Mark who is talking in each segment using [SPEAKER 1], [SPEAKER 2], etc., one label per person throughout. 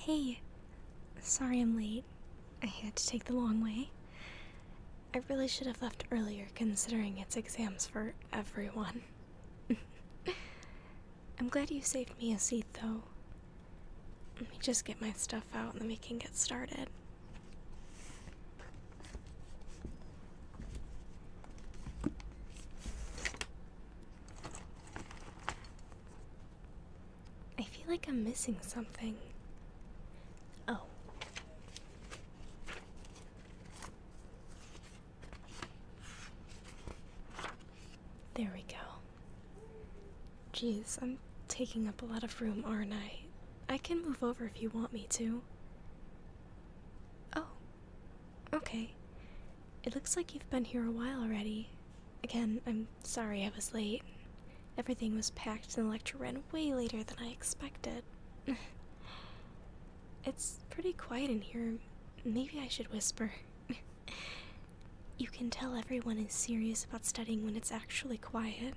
[SPEAKER 1] Hey! Sorry I'm late. I had to take the long way. I really should have left earlier considering it's exams for everyone. I'm glad you saved me a seat though. Let me just get my stuff out and then we can get started. I feel like I'm missing something. Oh. There we go. Jeez, I'm taking up a lot of room, aren't I? I can move over if you want me to. Oh, okay. It looks like you've been here a while already. Again, I'm sorry I was late. Everything was packed and the lecture ran way later than I expected. it's pretty quiet in here. Maybe I should whisper. you can tell everyone is serious about studying when it's actually quiet.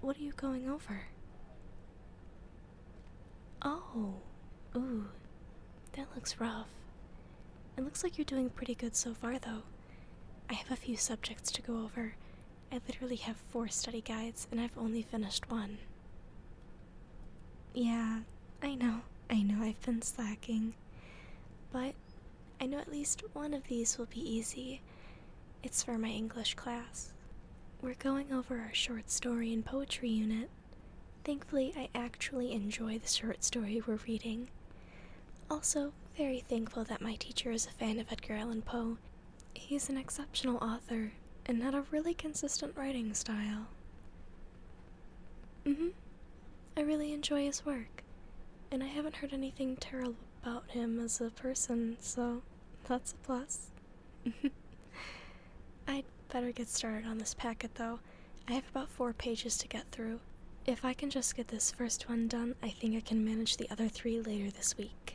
[SPEAKER 1] What are you going over? Oh, ooh, that looks rough. It looks like you're doing pretty good so far, though. I have a few subjects to go over. I literally have four study guides, and I've only finished one. Yeah, I know, I know I've been slacking. But I know at least one of these will be easy. It's for my English class. We're going over our short story and poetry unit. Thankfully, I actually enjoy the short story we're reading. Also, very thankful that my teacher is a fan of Edgar Allan Poe. He's an exceptional author and had a really consistent writing style. Mm hmm. I really enjoy his work, and I haven't heard anything terrible about him as a person, so that's a plus. I'd better get started on this packet though. I have about four pages to get through. If I can just get this first one done, I think I can manage the other three later this week.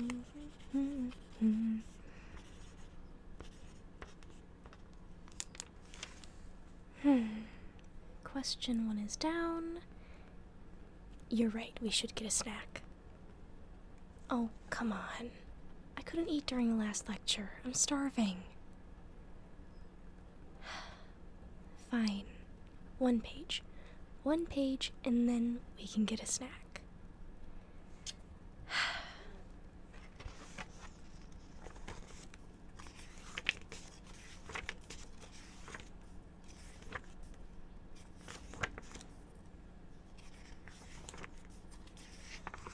[SPEAKER 1] hmm. Question one is down. You're right, we should get a snack. Oh, come on. I couldn't eat during the last lecture. I'm starving. Fine. One page. One page, and then we can get a snack.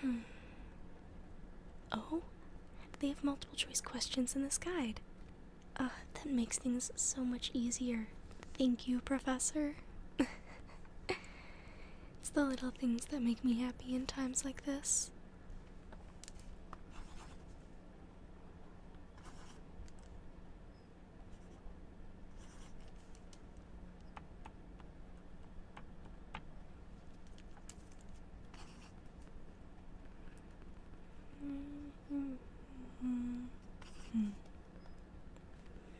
[SPEAKER 1] Hmm. Oh, they have multiple choice questions in this guide. Uh, that makes things so much easier. Thank you, Professor. it's the little things that make me happy in times like this.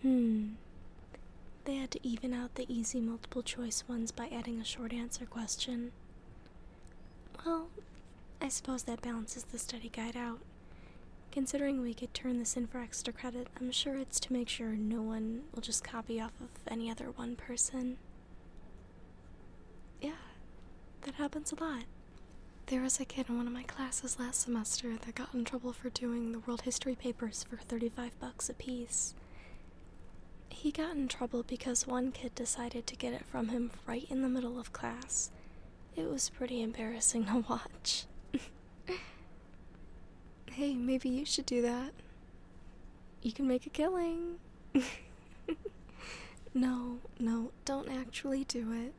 [SPEAKER 1] Hmm. They had to even out the easy multiple choice ones by adding a short answer question. Well, I suppose that balances the study guide out. Considering we could turn this in for extra credit, I'm sure it's to make sure no one will just copy off of any other one person. Yeah, that happens a lot. There was a kid in one of my classes last semester that got in trouble for doing the world history papers for 35 bucks apiece. He got in trouble because one kid decided to get it from him right in the middle of class. It was pretty embarrassing to watch. hey, maybe you should do that. You can make a killing. no, no, don't actually do it.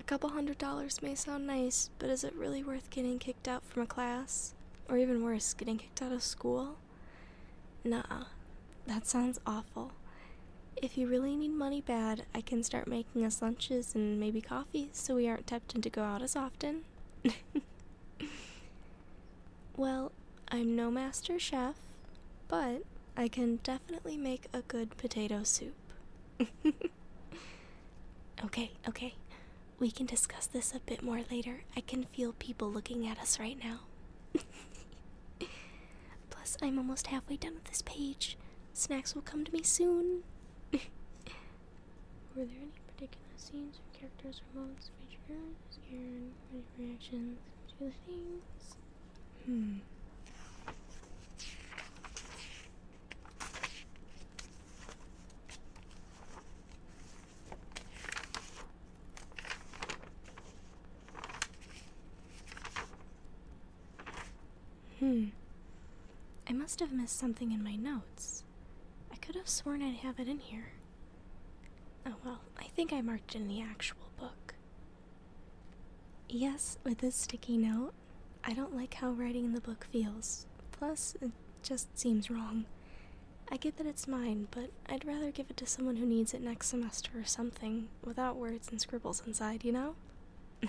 [SPEAKER 1] A couple hundred dollars may sound nice, but is it really worth getting kicked out from a class? Or even worse, getting kicked out of school? Nah, that sounds awful. If you really need money bad, I can start making us lunches and maybe coffee so we aren't tempted to go out as often. well, I'm no master chef, but I can definitely make a good potato soup. okay, okay. We can discuss this a bit more later. I can feel people looking at us right now. Plus, I'm almost halfway done with this page. Snacks will come to me soon. Were there any particular scenes or characters or moments which you're Any reactions to the things? Hmm. Hmm. I must have missed something in my notes. I could have sworn I'd have it in here. Oh well, I think I marked in the actual book. Yes, with this sticky note. I don't like how writing in the book feels. Plus, it just seems wrong. I get that it's mine, but I'd rather give it to someone who needs it next semester or something, without words and scribbles inside, you know?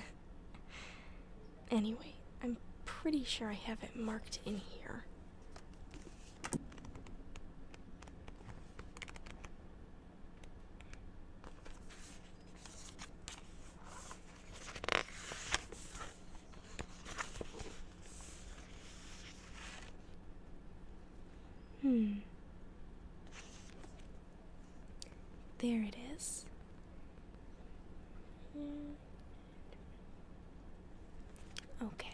[SPEAKER 1] anyway, I'm pretty sure I have it marked in here. Hmm. There it is. Okay.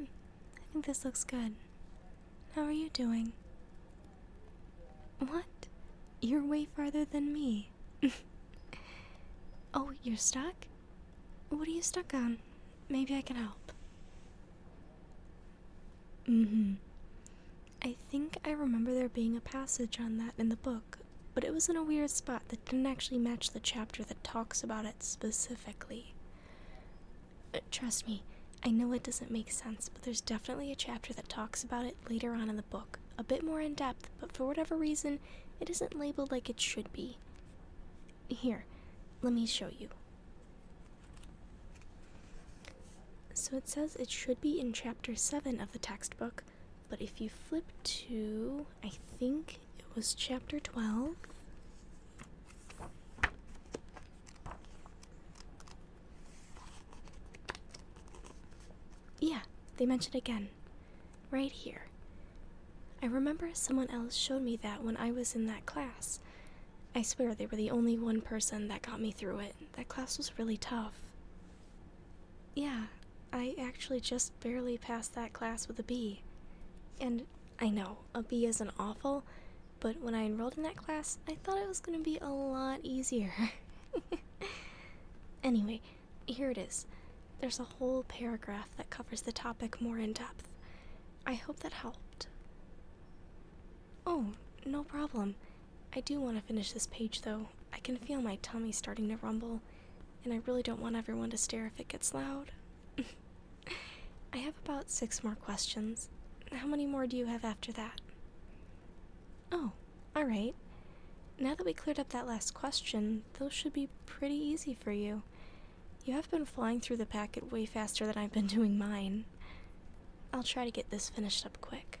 [SPEAKER 1] I think this looks good. How are you doing? What? You're way farther than me. oh, you're stuck? What are you stuck on? Maybe I can help. Mm hmm. I think I remember there being a passage on that in the book, but it was in a weird spot that didn't actually match the chapter that talks about it specifically. Uh, trust me, I know it doesn't make sense, but there's definitely a chapter that talks about it later on in the book, a bit more in depth, but for whatever reason, it isn't labeled like it should be. Here, let me show you. So it says it should be in chapter 7 of the textbook, but if you flip to, I think it was chapter 12. Yeah, they mention again right here. I remember someone else showed me that when I was in that class. I swear they were the only one person that got me through it. That class was really tough. Yeah, I actually just barely passed that class with a B. And I know, a B an awful, but when I enrolled in that class, I thought it was going to be a lot easier. anyway, here it is. There's a whole paragraph that covers the topic more in depth. I hope that helped. Oh, no problem. I do want to finish this page though. I can feel my tummy starting to rumble, and I really don't want everyone to stare if it gets loud. I have about six more questions. How many more do you have after that? Oh, alright. Now that we cleared up that last question, those should be pretty easy for you. You have been flying through the packet way faster than I've been doing mine. I'll try to get this finished up quick.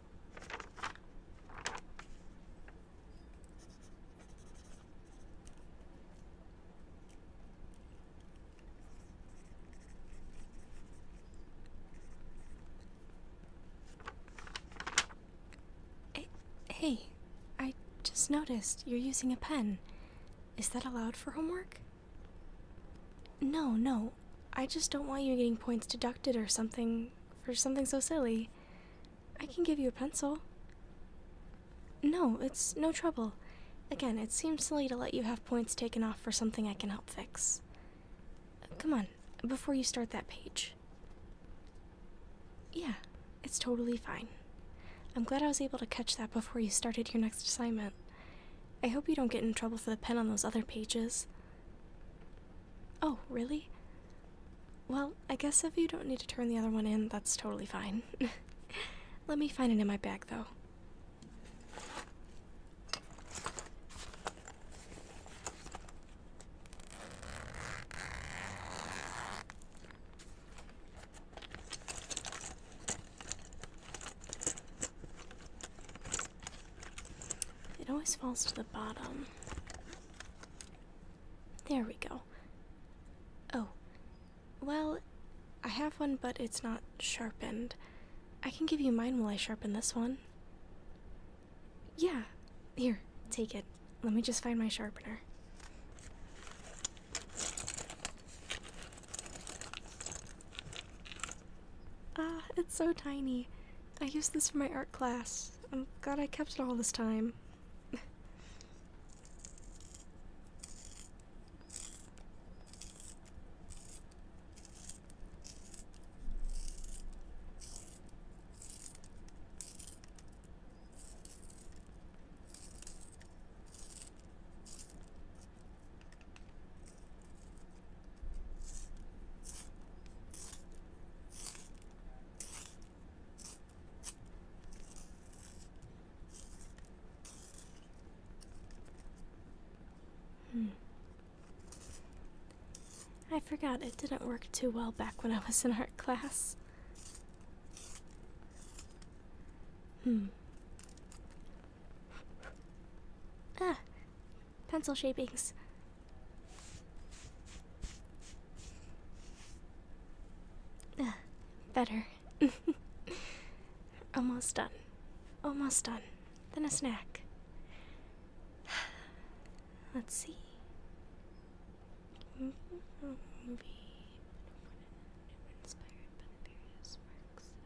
[SPEAKER 1] Hey, I just noticed you're using a pen. Is that allowed for homework? No, no. I just don't want you getting points deducted or something for something so silly. I can give you a pencil. No, it's no trouble. Again, it seems silly to let you have points taken off for something I can help fix. Come on, before you start that page. Yeah, it's totally fine. I'm glad I was able to catch that before you started your next assignment. I hope you don't get in trouble for the pen on those other pages. Oh, really? Well, I guess if you don't need to turn the other one in, that's totally fine. Let me find it in my bag, though. It always falls to the bottom. There we go. Oh. Well, I have one, but it's not sharpened. I can give you mine while I sharpen this one. Yeah. Here, take it. Let me just find my sharpener. Ah, it's so tiny. I used this for my art class. I'm glad I kept it all this time. Hmm. I forgot it didn't work too well back when I was in art class. Hmm. Ah, pencil shapings. Ah, better. Almost done. Almost done. Then a snack. Let's see. Mm-hmm.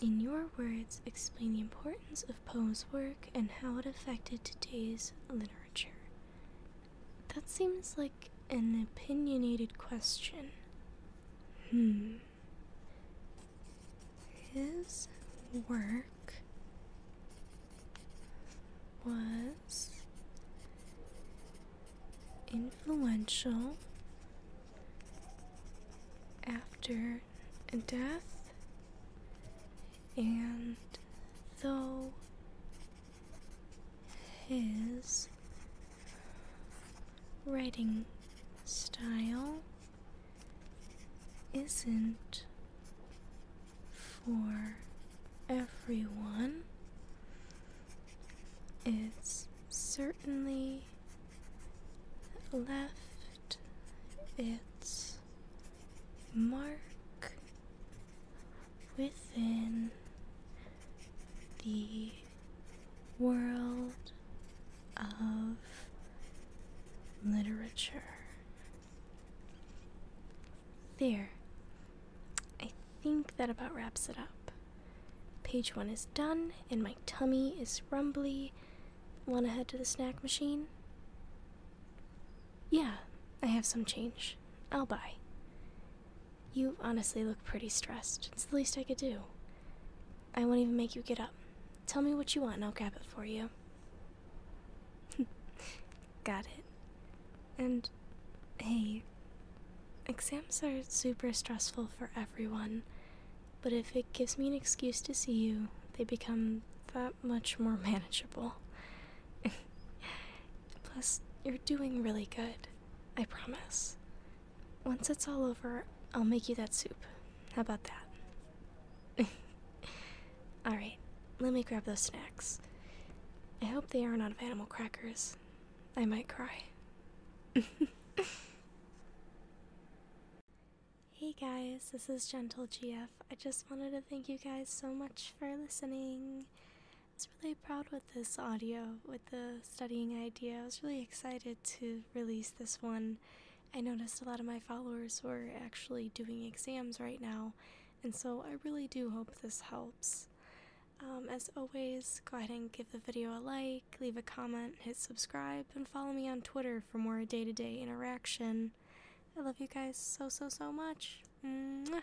[SPEAKER 1] In your words, explain the importance of Poe's work and how it affected today's literature. That seems like an opinionated question. Hmm. His work was influential after death, and though his writing style isn't for everyone. It's certainly left its mark within the world of literature. There. I think that about wraps it up. Page one is done, and my tummy is rumbly. Want to head to the snack machine? Yeah, I have some change. I'll buy. You honestly look pretty stressed. It's the least I could do. I won't even make you get up. Tell me what you want and I'll grab it for you. Got it. And hey, exams are super stressful for everyone, but if it gives me an excuse to see you, they become that much more manageable. Plus, you're doing really good. I promise. Once it's all over, I'll make you that soup. How about that? Alright, let me grab those snacks. I hope they aren't out of animal crackers. I might cry. hey guys, this is Gentle GF. I just wanted to thank you guys so much for listening. I was really proud with this audio, with the studying idea. I was really excited to release this one. I noticed a lot of my followers were actually doing exams right now, and so I really do hope this helps. Um, as always, go ahead and give the video a like, leave a comment, hit subscribe, and follow me on Twitter for more day to day interaction. I love you guys so, so, so much. Mwah.